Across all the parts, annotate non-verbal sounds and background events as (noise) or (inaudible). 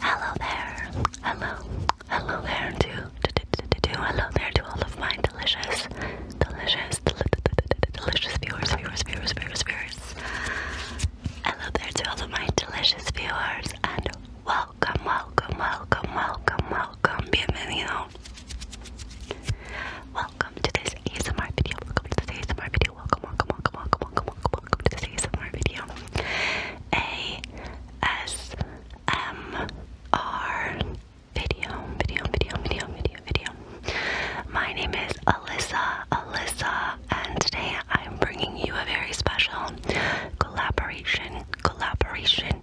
Hello there. Hello. Hello there to, to, to, to, to hello there to all of my delicious, delicious, delicious viewers, viewers, viewers, viewers, Hello there to all of my delicious viewers and welcome welcome, welcome, welcome, welcome, welcome. Bienvenido. Welcome to this ASMR video. Welcome to this ASMR video. Welcome, welcome, welcome, welcome, welcome, welcome, welcome to this ASMR video. A S M R video, video, video, video, video, video. My name is Alyssa, Alyssa, and today I'm bringing you a very special collaboration, collaboration,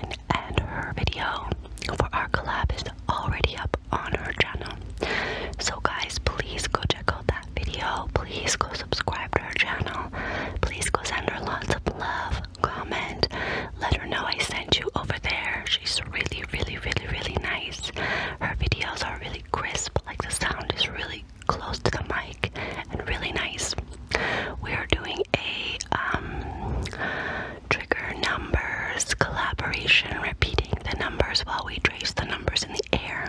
and her video for our collab is already up on her channel. So guys, please go check out that video. Please go subscribe to her channel. Please go send her lots of love, comment, let her know I sent you over there. She's really, really, really, really nice. Her videos are really crisp, like the sound is really close to the mic and really nice. We are doing a um, trigger numbers collaboration, repeating the numbers while we trace the numbers in the air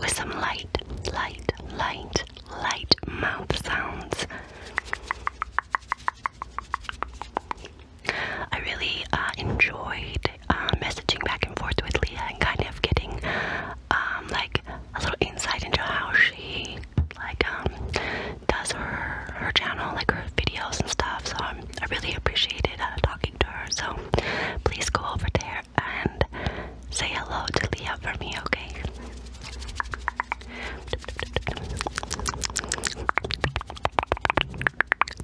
with some light, light, light, light mouth sounds. I really uh, enjoyed uh, messaging back and forth with Leah and kind of getting um, like a little insight into how she like um does her her channel, like her videos and stuff. So um, I really appreciated uh, talking to her. So please go over there and say hello to Leah for me, okay?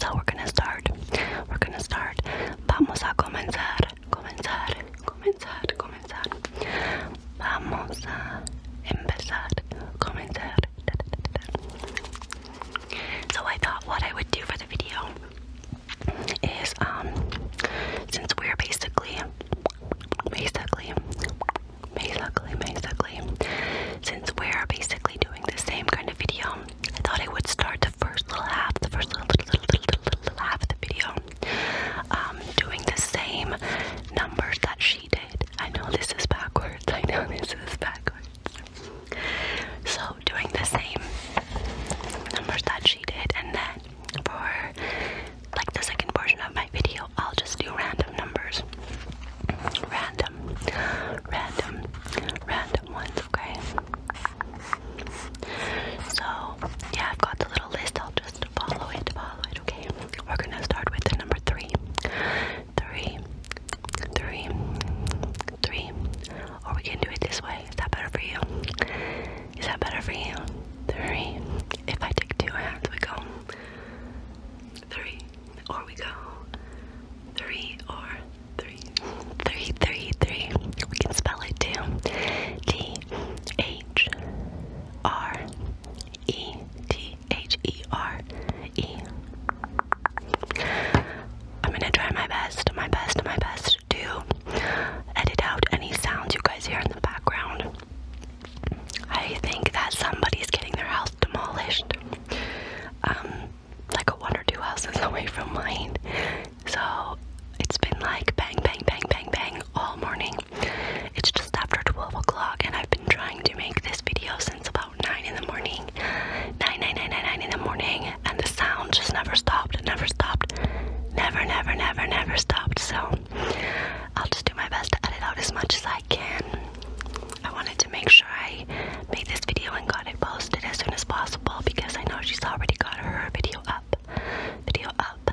So we're gonna start. We're gonna start. Vamos a comenzar. Comenzar comenzar, comenzar. Vamos a empezar, comenzar. So I thought what I would do for the video is um since we're basically basically basically basically since we're basically doing the same kind of video I thought I would start the first little half the first little little little, little, little half of the video um, doing the same numbers that she did. I know this is backwards. (laughs) I know this is backwards. So doing the same numbers that she did, and then for like the second portion of my video, I'll just do random numbers. Random, random, random ones, okay? So, yeah, I've got the little list. I'll just follow it, follow it, okay? We're gonna start with the number three. Three, Or we can do it this way. Is that better for you? Is that better for you? Three. If I take two hands, we go three. Or we go three or three. Three, We can spell it too. T H R E T H E R E. I'm gonna try my best, my best, my best to edit out any sounds you guys hear in the background. I think that somebody's getting their house demolished. Um, like a one or two houses (laughs) away from mine. So it's been like bang, bang, bang, bang, bang all morning. It's just after 12 o'clock, and I've been trying to make this video since about 9 in the morning. 9, in the morning, and the sound just never stopped, never stopped, never, never, never, never stopped. So I'll just do my best to edit out as much as I can. I wanted to make sure I made this video and got it posted as soon as possible because I know she's already got her video up, video up,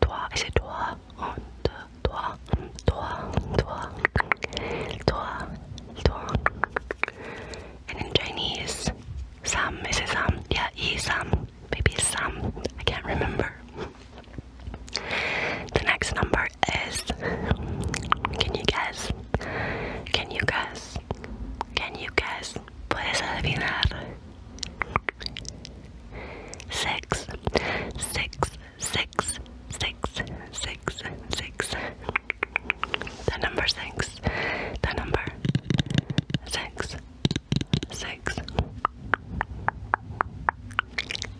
Toi, is it toi? Un, deux, toi, toi, toi, toi, toi. And in Chinese, sam, is it sam? Yeah, yi sam, maybe sam. I can't remember. The next number is. Can you guess? Can you guess? Can you guess? puedes adivinar. Six, six, six, six, six, six. The number six. The number six,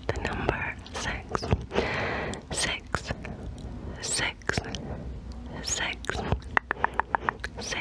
The number six, six, six, six, six.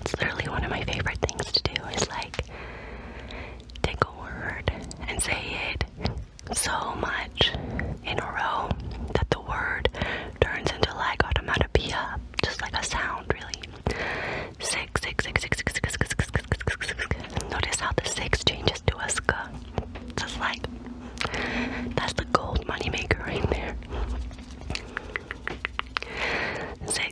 It's literally one of my favorite things to do is like take a word and say it so much in a row that the word turns into like automatopoeia, just like a sound really. Six, six, six, six, six, six, six, six, six, six, Notice how the six changes to a sk. Just like that's the gold moneymaker right there. Six,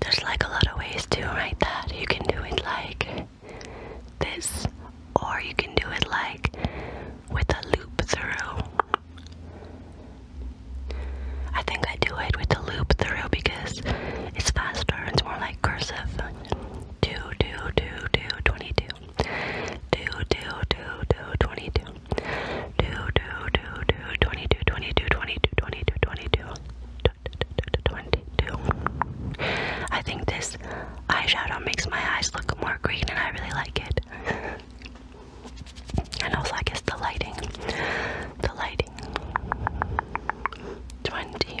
there's like a lot of ways to write that. You can do it like this, or you can do it like with a loop through. I think I do it with the loop through because it's faster, it's more like cursive. 2 I think this eyeshadow makes my eyes look more green and I really like it. And also I guess the lighting. The lighting. Twenty.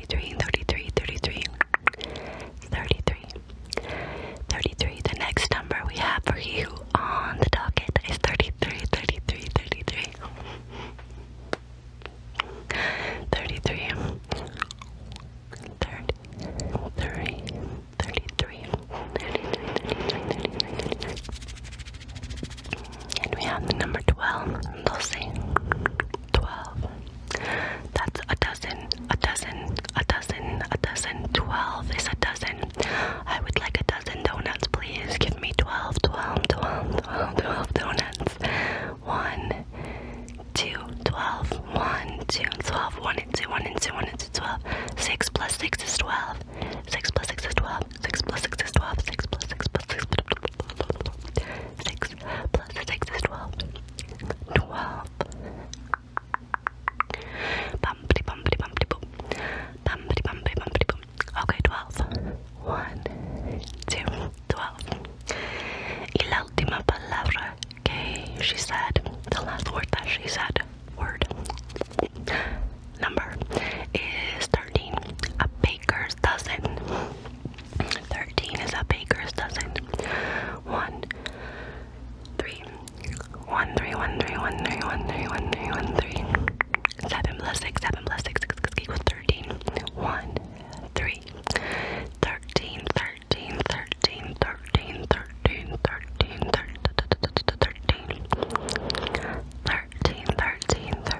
33, 33, 33, 33, 33. The next number we have for you on the docket is 33, 33, 33. 33 30, 30, 33 and we have the number 12 Dulce 12. That's a dozen, a dozen, a dozen, a dozen. 12 is a dozen. I would like a dozen donuts, please. Give me 12, 12, 12, 12, 12 donuts. 1, 2, 12, 1, 2, 12, 1 and 2, 1 and 2, 1 and 2, 12. 6 plus 6 is 12. 6 plus 6 is 12. 6 plus 6 is 12. 6 plus 6 plus 6. 6 6 plus 6 is 12. 12. Bumpty, bumpty, bumpty, boom. Bumpty, bumpty, bumpty, boom. Okay, 12. 1, 2, 12. Y la última palabra que she said, the last word that she said, word, number, is 13. A baker's dozen. Thirteen is a baker's dozen. One, three, one, three, one, three, one, three, one, three, one, three, one, three. Seven plus six, seven plus six, six, six equals thirteen. One, three, thirteen, thirteen, thirteen, thirteen, thirteen, thirteen, thirteen, thirteen, thirteen, thirteen, thirteen,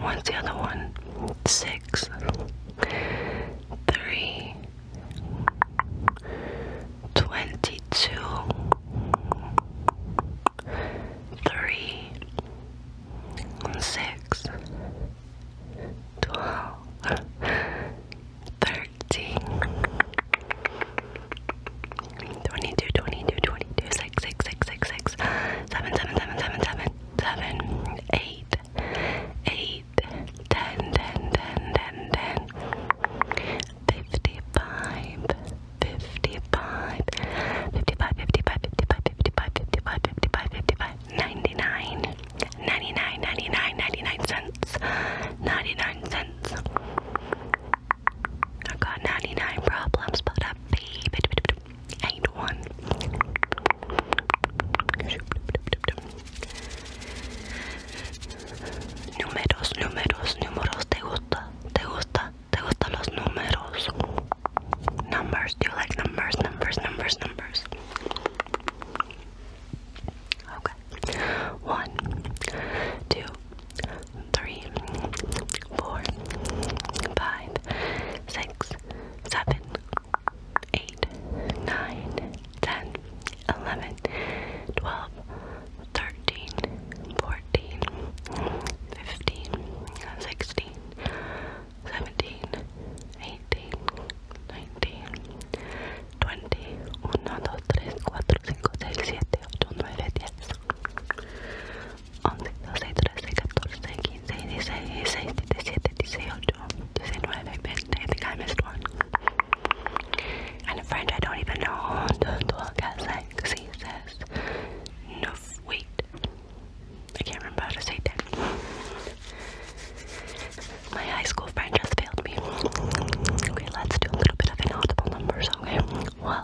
What's the other one? Six, three, twenty-two, three, six, twelve, thirteen, twenty-two, twenty-two, twenty-two, six, six, six, six, six seven, seven, seven, seven, seven, seven, eight, eight, ten, ten, ten, ten, ten, fifty-five, fifty-five, fifty-five, fifty-five, fifty-five, fifty-five, fifty-five, fifty-five, fifty-five, ninety-nine, ninety-nine, ninety-nine, ninety-nine cents, ninety-nine cents. I got 99 problems, but a fee. Eight one. Números, números, números. ¿Te gusta? ¿Te gusta? ¿Te gustan los números? Numbers. Do you like numbers? Numbers, numbers, numbers. Okay. One, two, three, four, five, six, seven, eight, nine, ten, eleven, twelve, thirteen, fourteen, fifteen, sixteen, seventeen, eighteen, nineteen, twenty, uno, dos, tres, cuatro, cinco, seis, siete, ocho, nueve, diez. 11, 12, 13, 14, 15, I think I missed And French, I don't even know. Deux, trois, wait. I can't remember how to say that. My high school friend just failed me. Okay, let's do a little bit of inaudible numbers, okay? One,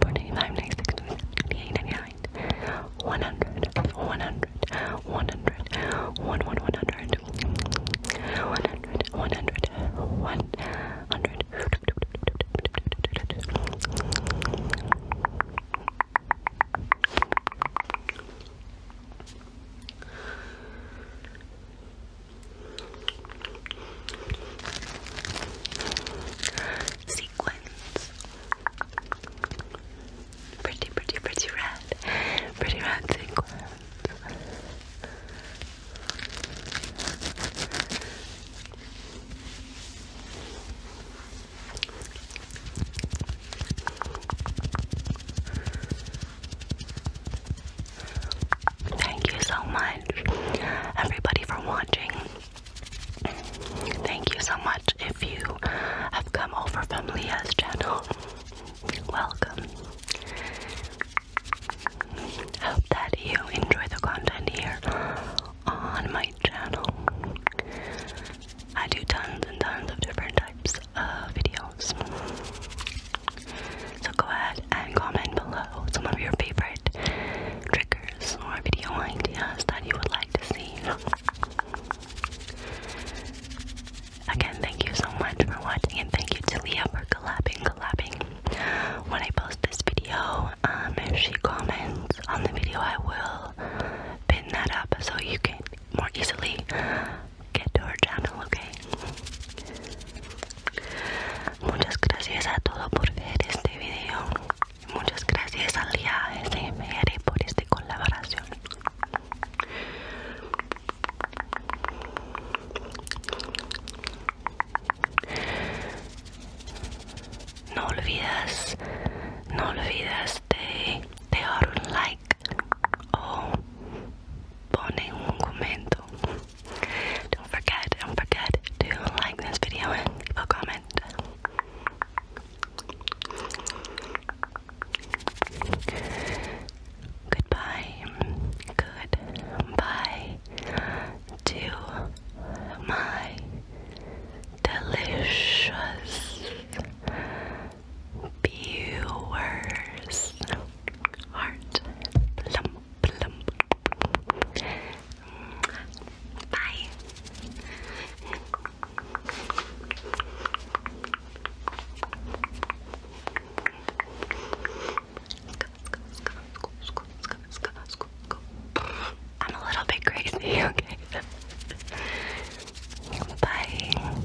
495, 96, 98, 99, 100, 100, 100, 100, 1, 1, 100, 100, 100, 100 sequins. Pretty, pretty, pretty red. Pretty red sequins. Thank you so much, everybody, for watching. Thank you so much if you have come over from Leah's channel. Welcome. hope that you enjoy the content here on my channel. I do tons and tons of different types of videos. So go ahead and comment below some of your favorite trick triggers video ideas that you would like to see. Again, thank you so much for watching and thank you to Leah for collabing, collabing. When I post this video, um, if she comments on the video, I will pin that up so you can more easily get to her channel, okay? Muchas gracias a todos por ver este video. Muchas gracias al SMR por esta colaboración. No olvides, no olvides de dejar un like o poner un comentario Don't forget, don't forget to like this video and leave a comment. Goodbye. Goodbye to my delicious viewers. Heart Bye. I'm a little bit crazy, (laughs) okay? Bye.